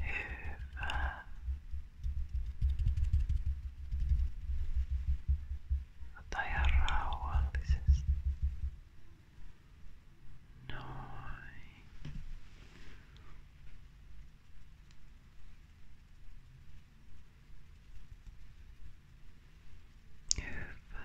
Hyvä. Ota ihan rauhallisesti. Noin. Hyvä.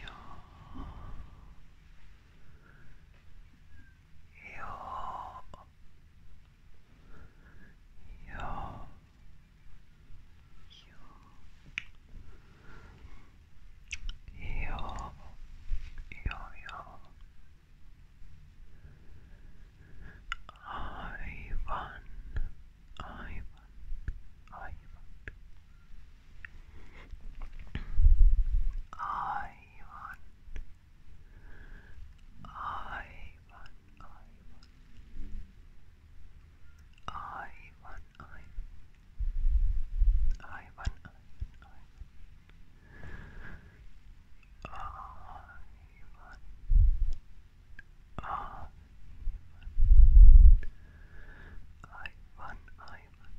your your your your your your Ivan Ivan Ivan Ivan, Ivan, Ivan. Ivan, Ivan, Ivan, Ivan, Ivan, Ivan, Ivan, Ivan,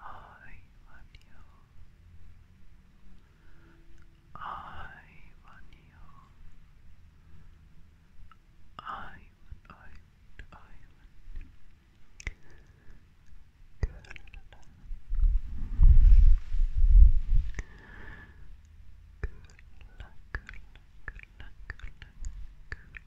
I want you. I want you. I want, I want, I want. Girl. Good luck, good luck, good luck, good luck, good luck, good luck,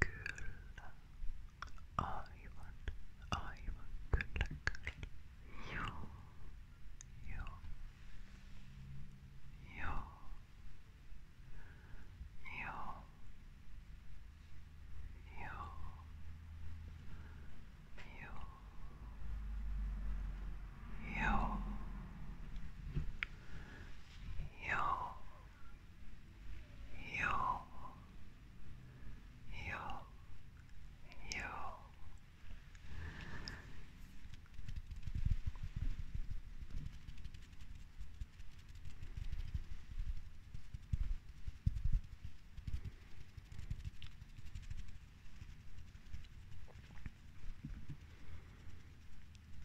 Kyllä. Aivan. Aivan. Kyllä, kyllä. Joo. Joo. Joo. Joo. Joo. Joo. Joo you, you, you.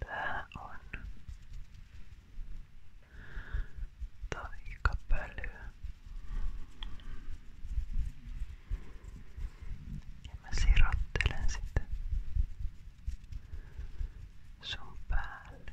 Tää on taikapölyä. Ja mä sirottelen sitä sun päälle.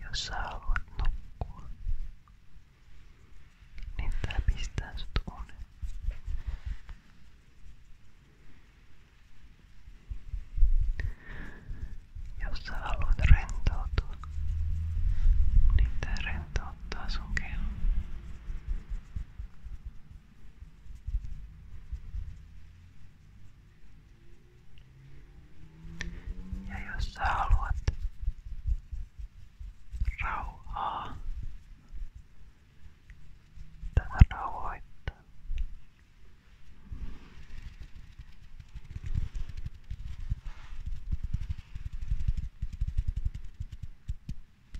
Jos sä haluat nukkua, niin tää pistää sut unen. Jos sä haluat rentoutua, niin tää rentouttaa sun kehon. Ja jos sä haluat rauhaa, tätä rauhoittaa.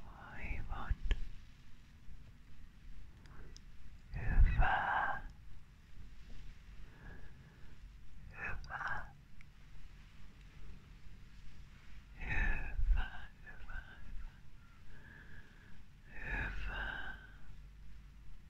I want über über über über über